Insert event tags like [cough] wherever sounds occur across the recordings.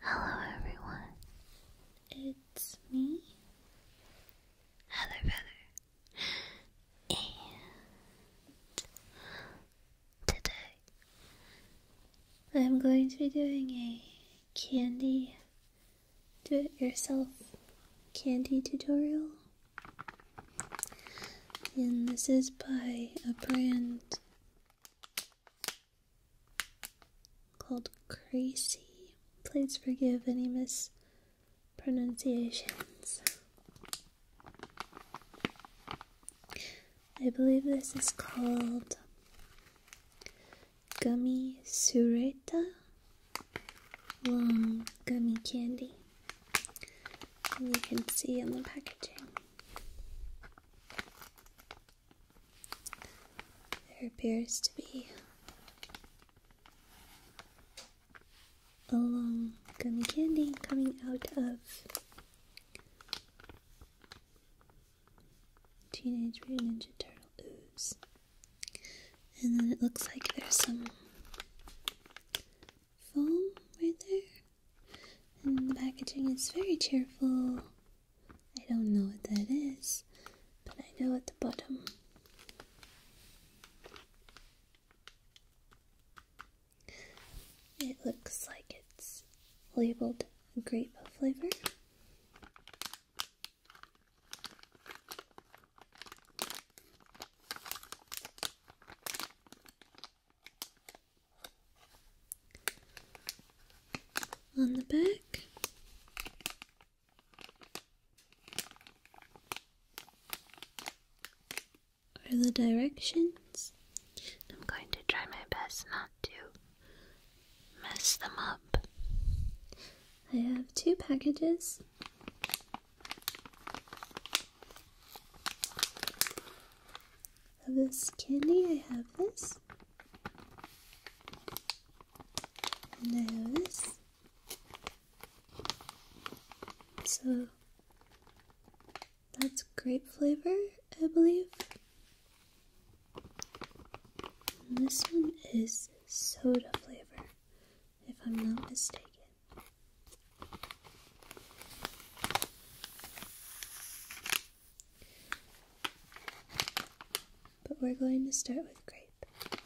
Hello, everyone. It's me, Heather Feather today I'm going to be doing a candy do it yourself candy tutorial. And this is by a brand called Crazy. Please forgive any miss pronunciations. I believe this is called gummy sureta long gummy candy. And you can see on the packaging. There appears to be long um, gummy candy coming out of Teenage Mutant Ninja Turtle ooze. And then it looks like there's some foam right there. And the packaging is very cheerful. I don't know what that is, but I know at the bottom it looks like it's labeled grape flavor. On the back, are the directions. I'm going to try my best not to mess them up. I have two packages. Of this candy, I have this, I have this. So that's grape flavor, I believe. this one is soda flavor, if I'm not mistaken. But we're going to start with grape.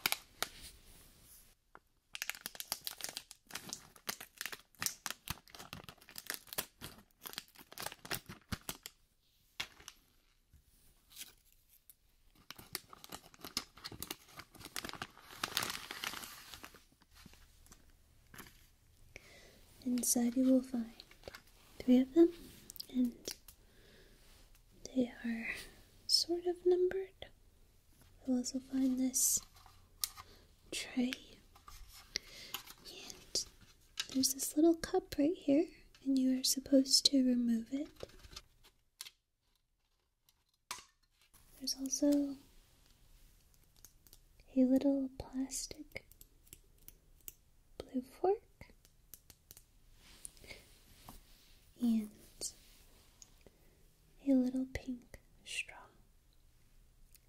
Inside you will find three of them, and they are sort of numbered. You'll also find this tray. And there's this little cup right here, and you are supposed to remove it. There's also a little plastic blue fork. And a little pink straw.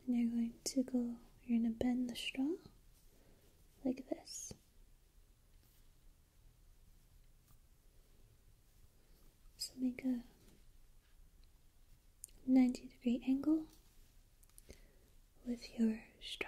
And you're going to go, you're going to bend the straw like this. So make a 90 degree angle with your straw.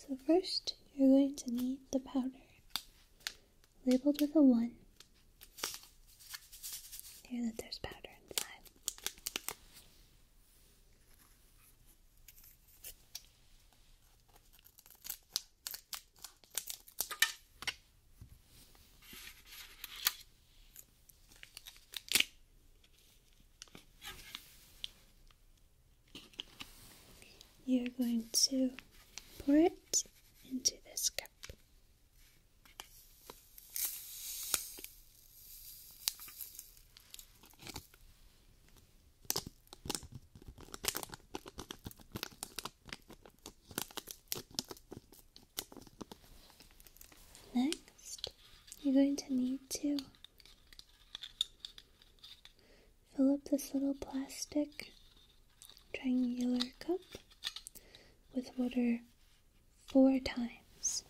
So first, you're going to need the powder labeled with a 1. Here that there's powder inside. You're going to pour it into this cup. Next, you're going to need to fill up this little plastic triangular cup with water four times.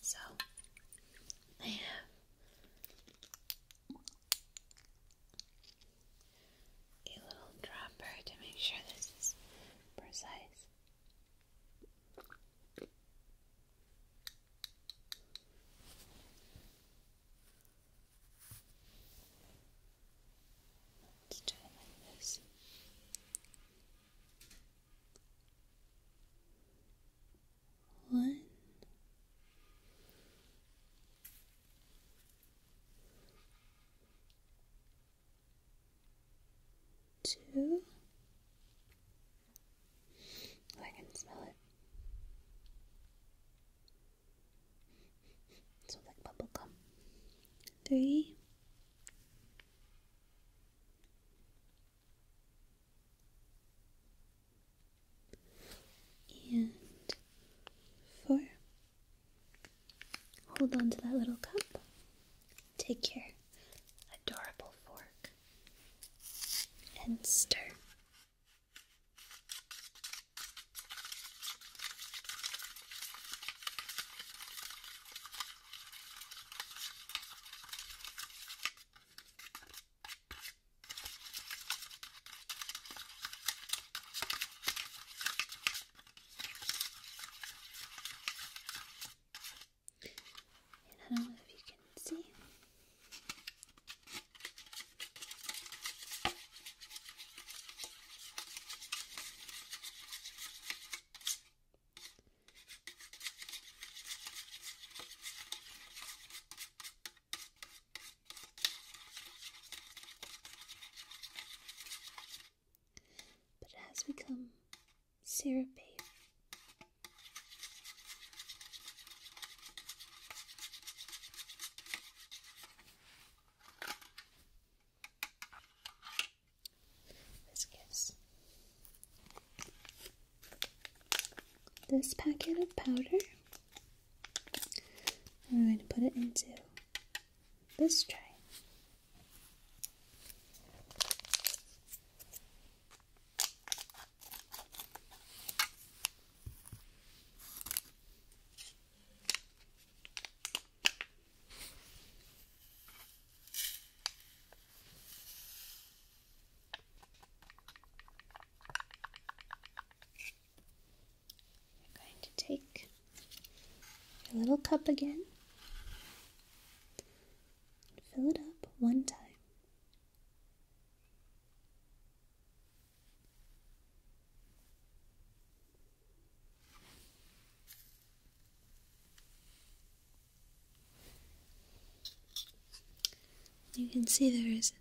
So I have a little dropper to make sure this is precise. do it like this one, two. I can smell it. It like bubble gum. Three and four. Hold on to that little cup. Take your adorable fork and stir. And I don't know if you can see but it has become syrupy. This gives this packet of powder. And we're going to put it into this tray. You're going to take your little cup again, fill it up one time. You can see there is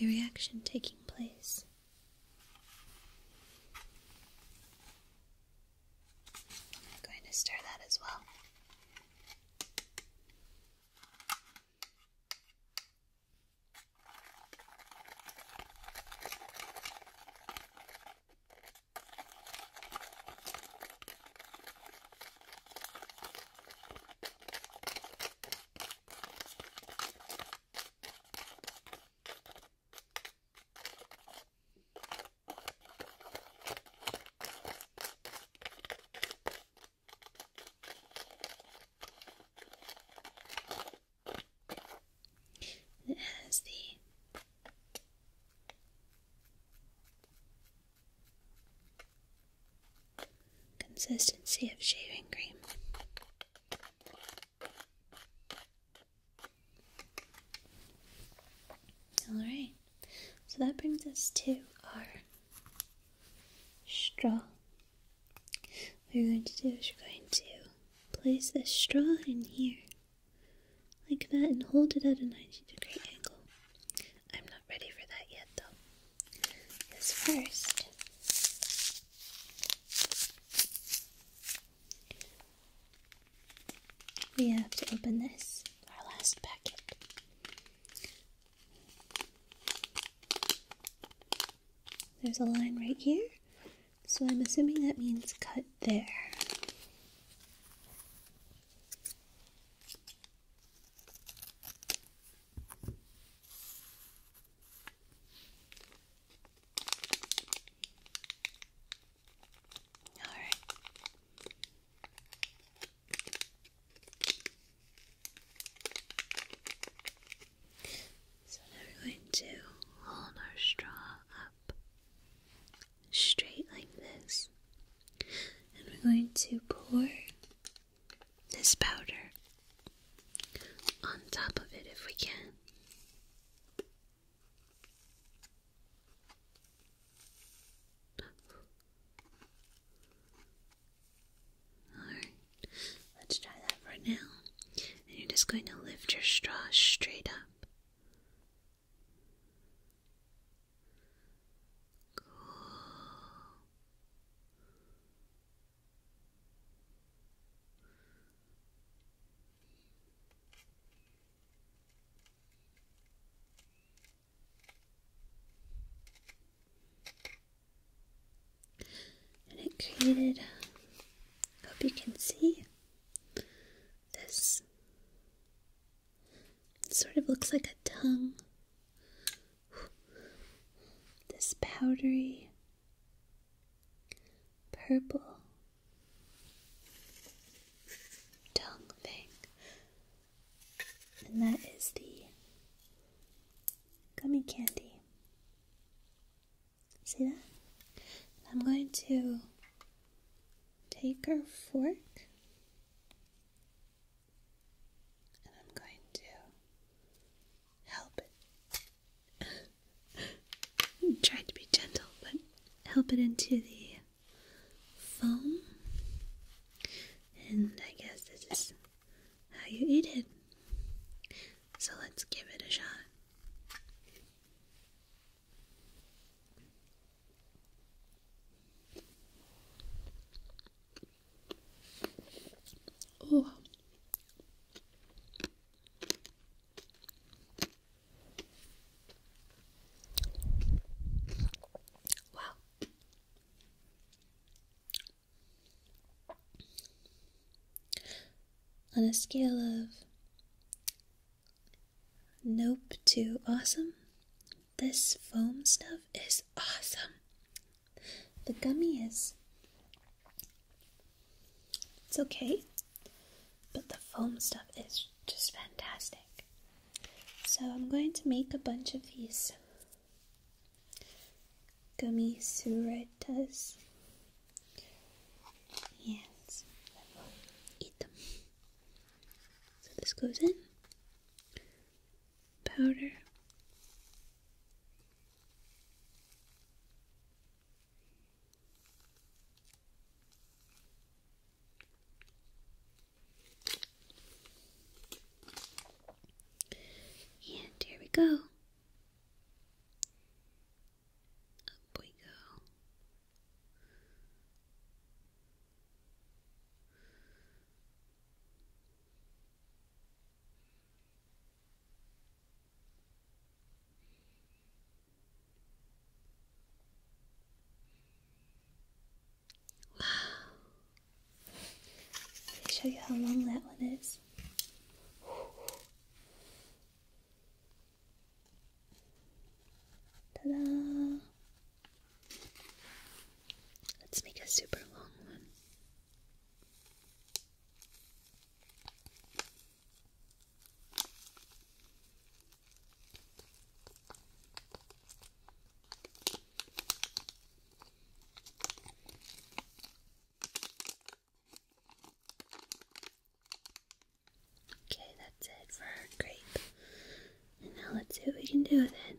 a reaction taking place. I'm going to stir that as well. It has the Consistency of shaving cream. Alright, so that brings us to our straw. What you're going to do is you're going to place this straw in here, like that, and hold it at a 90 degree angle. I'm not ready for that yet, though is first. We have to open this, our last packet. There's a line right here, so I'm assuming that means cut there. All right. So we're going to hold our straw up straight like this, and we're going to pour this powder on top of it if we can. Alright, let's try that for now. And you're just going to lift your straw straight up. And it created, hope you can see, this sort of looks like a tongue this powdery purple tongue thing, and that is the gummy candy. See that? I'm going to take our fork and I'm going to help it. I'm [laughs] trying to be gentle, but help it into the foam. And I guess this is how you eat it. So let's give it a shot. Oh Wow. On a scale of nope to awesome, this foam stuff is awesome. The gummy is. It's okay, but the foam stuff is just fantastic. So I'm going to make a bunch of these gummy suritas. And eat them. So this goes in. Powder. And here we go. Up we go. Wow. Let me show you how long that one is. Ta da! Let's make a super long one. Okay, that's it for our grape. And now let's see what we can do with it.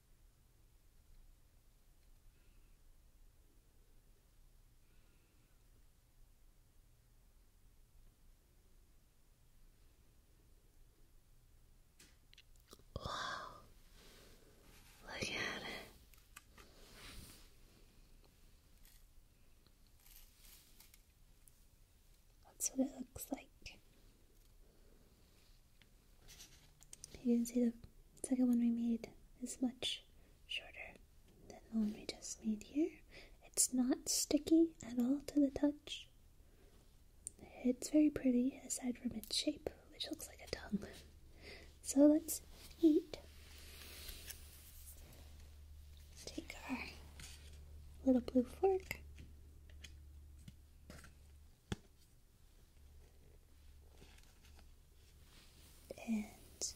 Wow, look at it. That's what it looks like. You can see the second one we made is much shorter than the one we just made here. It's not sticky at all to the touch. It's very pretty aside from its shape, which looks like a tongue. So let's eat. Take our little blue fork and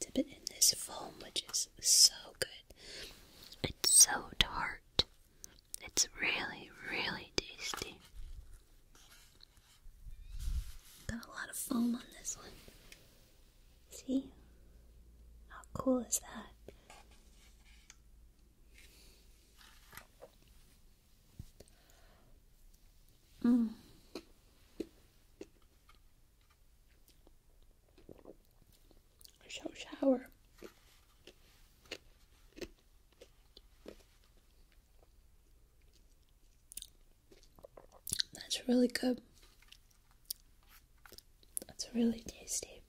dip it in this foam, which is so good. It's so tart. It's really, really tasty. Got a lot of foam on this one. See? How cool is that? Mm. So sour. That's really good. That's really tasty.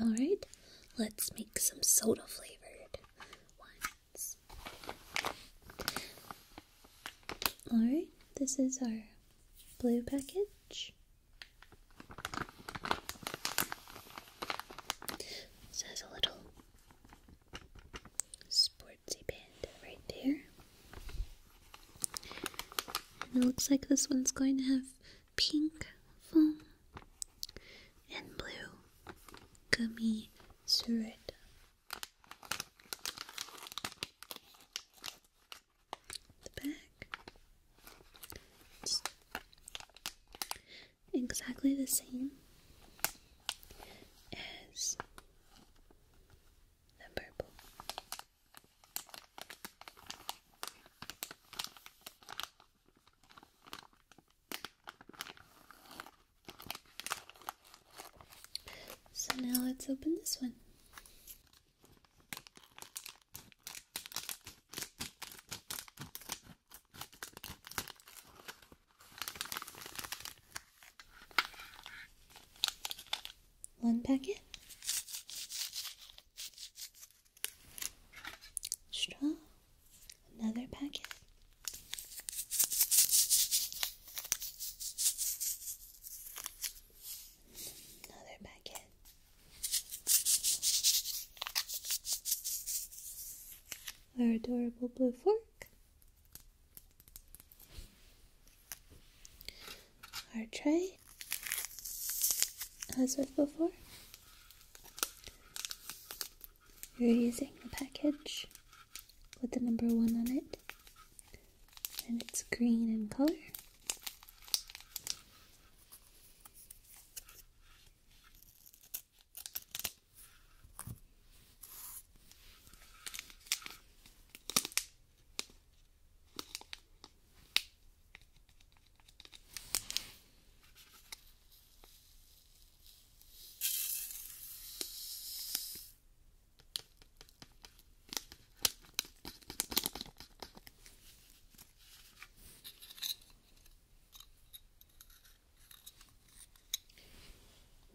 All right, let's make some soda flavored Alright, this is our blue package. This has a little sportsy band right there. it looks like this one's going to have pink foam and blue gummy syrup. The back. exactly the same as the purple. So now let's open this one. One packet, straw. Another packet. Another packet. Our adorable blue fork. Our tray, as with before. You're using the package with the number one on it, and it's green in color.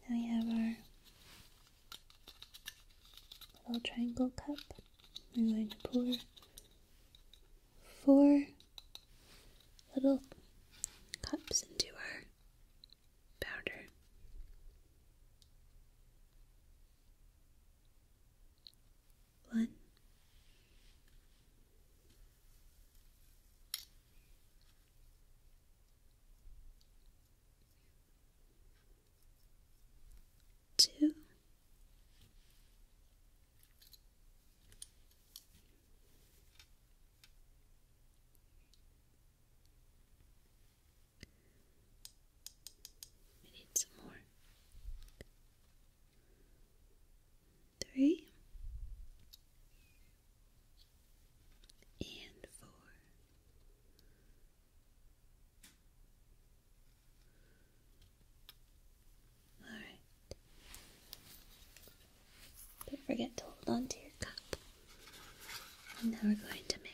Now we have our little triangle cup. I'm going to pour four little cups into our powder. One. Two. We need some more. Three and four. All right. Don't forget to hold on to your cup. And now we're going to mix.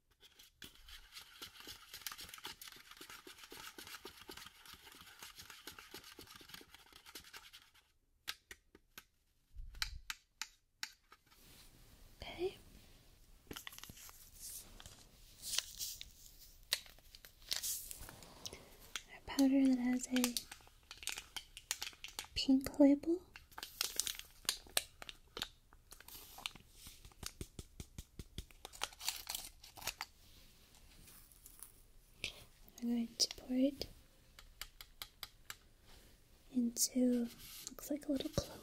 Okay. A powder that has a pink label. I'm going to pour it into looks like a little clover.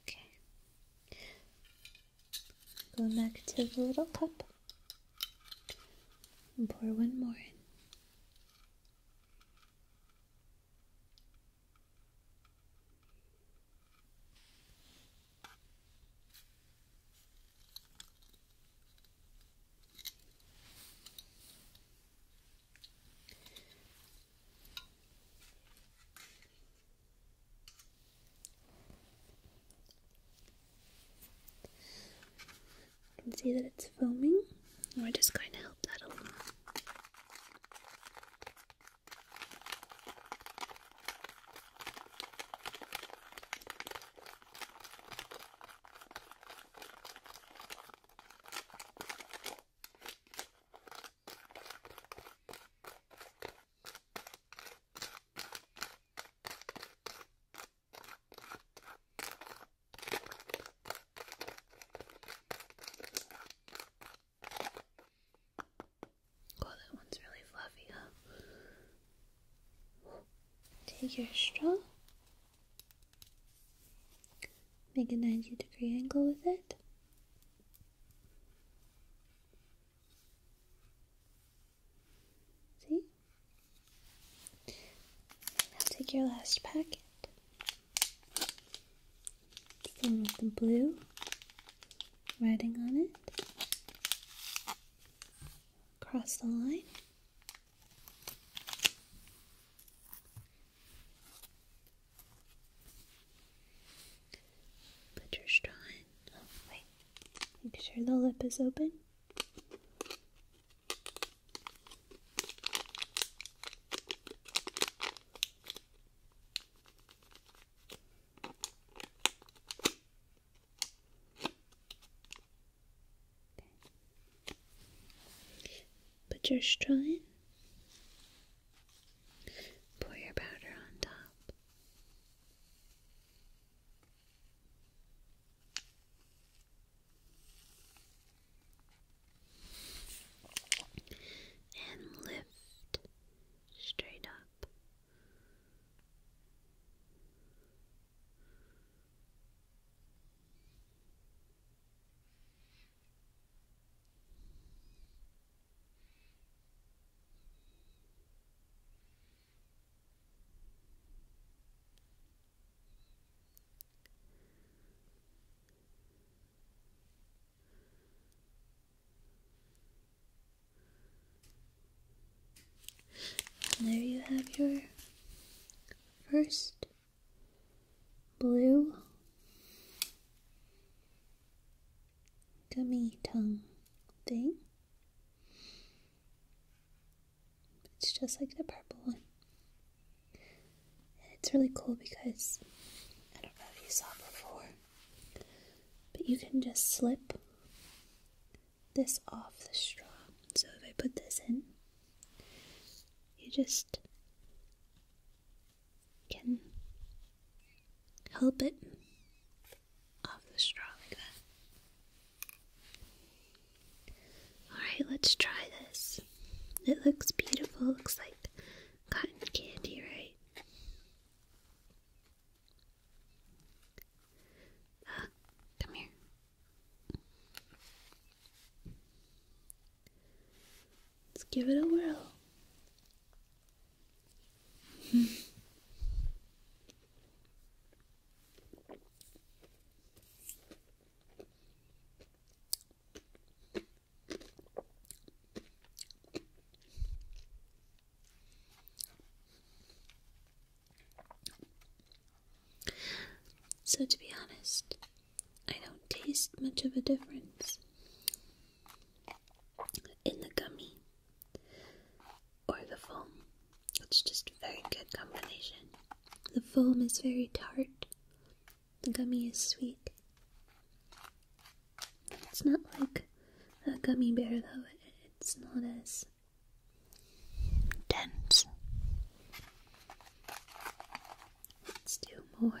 Okay. Go back to the little cup and pour one more in. You can see that it's foaming. We're just going to help that along. Oh, that one's really fluffy, Take your straw, make a 90 degree angle with it, now take your last packet. It's the the blue writing on it. Cross the line. Put your straw in. Oh, wait. Make sure the lip is open. Okay. Put your straw in. Pour your powder on top. And lift straight up. And there you have your first blue gummy tongue thing. It's just like the purple one. it's really cool because I don't know if you saw before, but you can just slip this off the straw. So if I put this in, you just can help it off the straw like that. Alright, let's try this. It looks beautiful, looks like cotton candy, right? Uh, come here. Let's give it a whirl so, to be honest, I don't taste much of a difference in the gummy or the foam. It's just a very good combination. The foam is very tart, the gummy is sweet. It's not like a gummy bear, though, it's not as dense. Let's do more.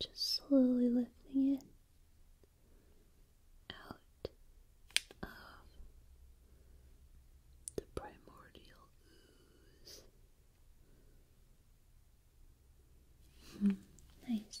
just slowly lifting it out of the primordial ooze. Hmm, nice.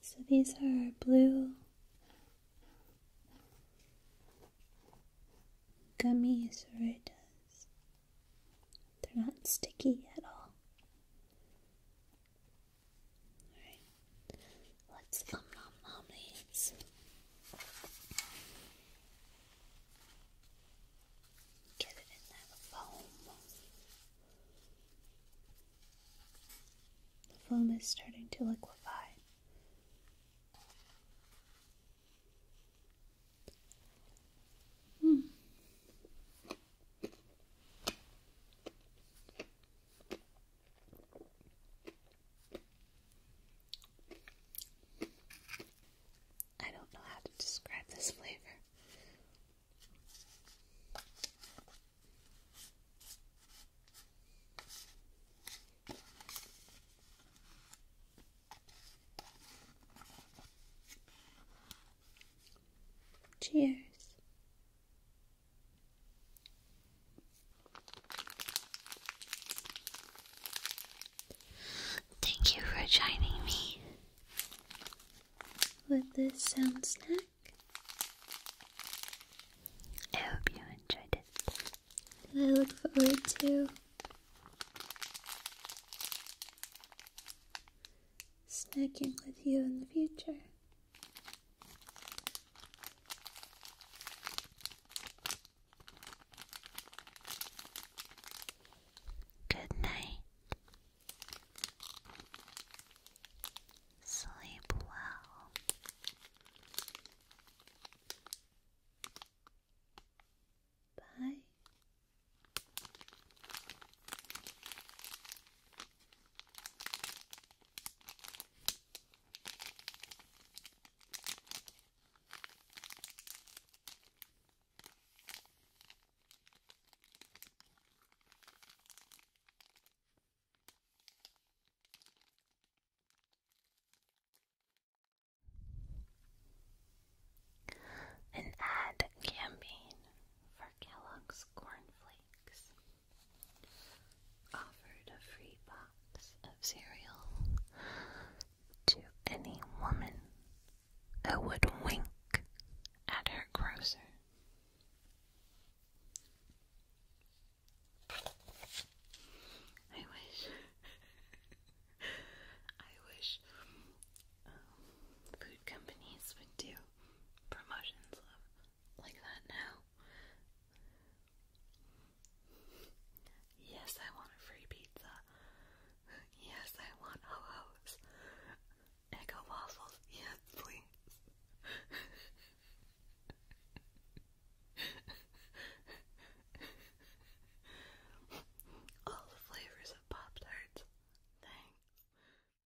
So these are blue gummies, gummy sororitas. They're not sticky at all. Alright, let's um these. Get it in there, the foam. The foam is starting to liquefy. Hmm. I don't know how to describe this flavor. Cheers. Thank you for joining me with this sound snack. I hope you enjoyed it. I look forward to snacking with you in the future. Good night. Sleep well. Bye. An ad campaign for Kellogg's Cornflakes offered a free box of cereal to any woman who would wink at her grocer. I wish, I wish um, food companies would do promotions of like that now. Yes, I want a free pizza. Yes, I want ho-ho's. Yes, please. All the flavors of Pop Tarts. Thanks.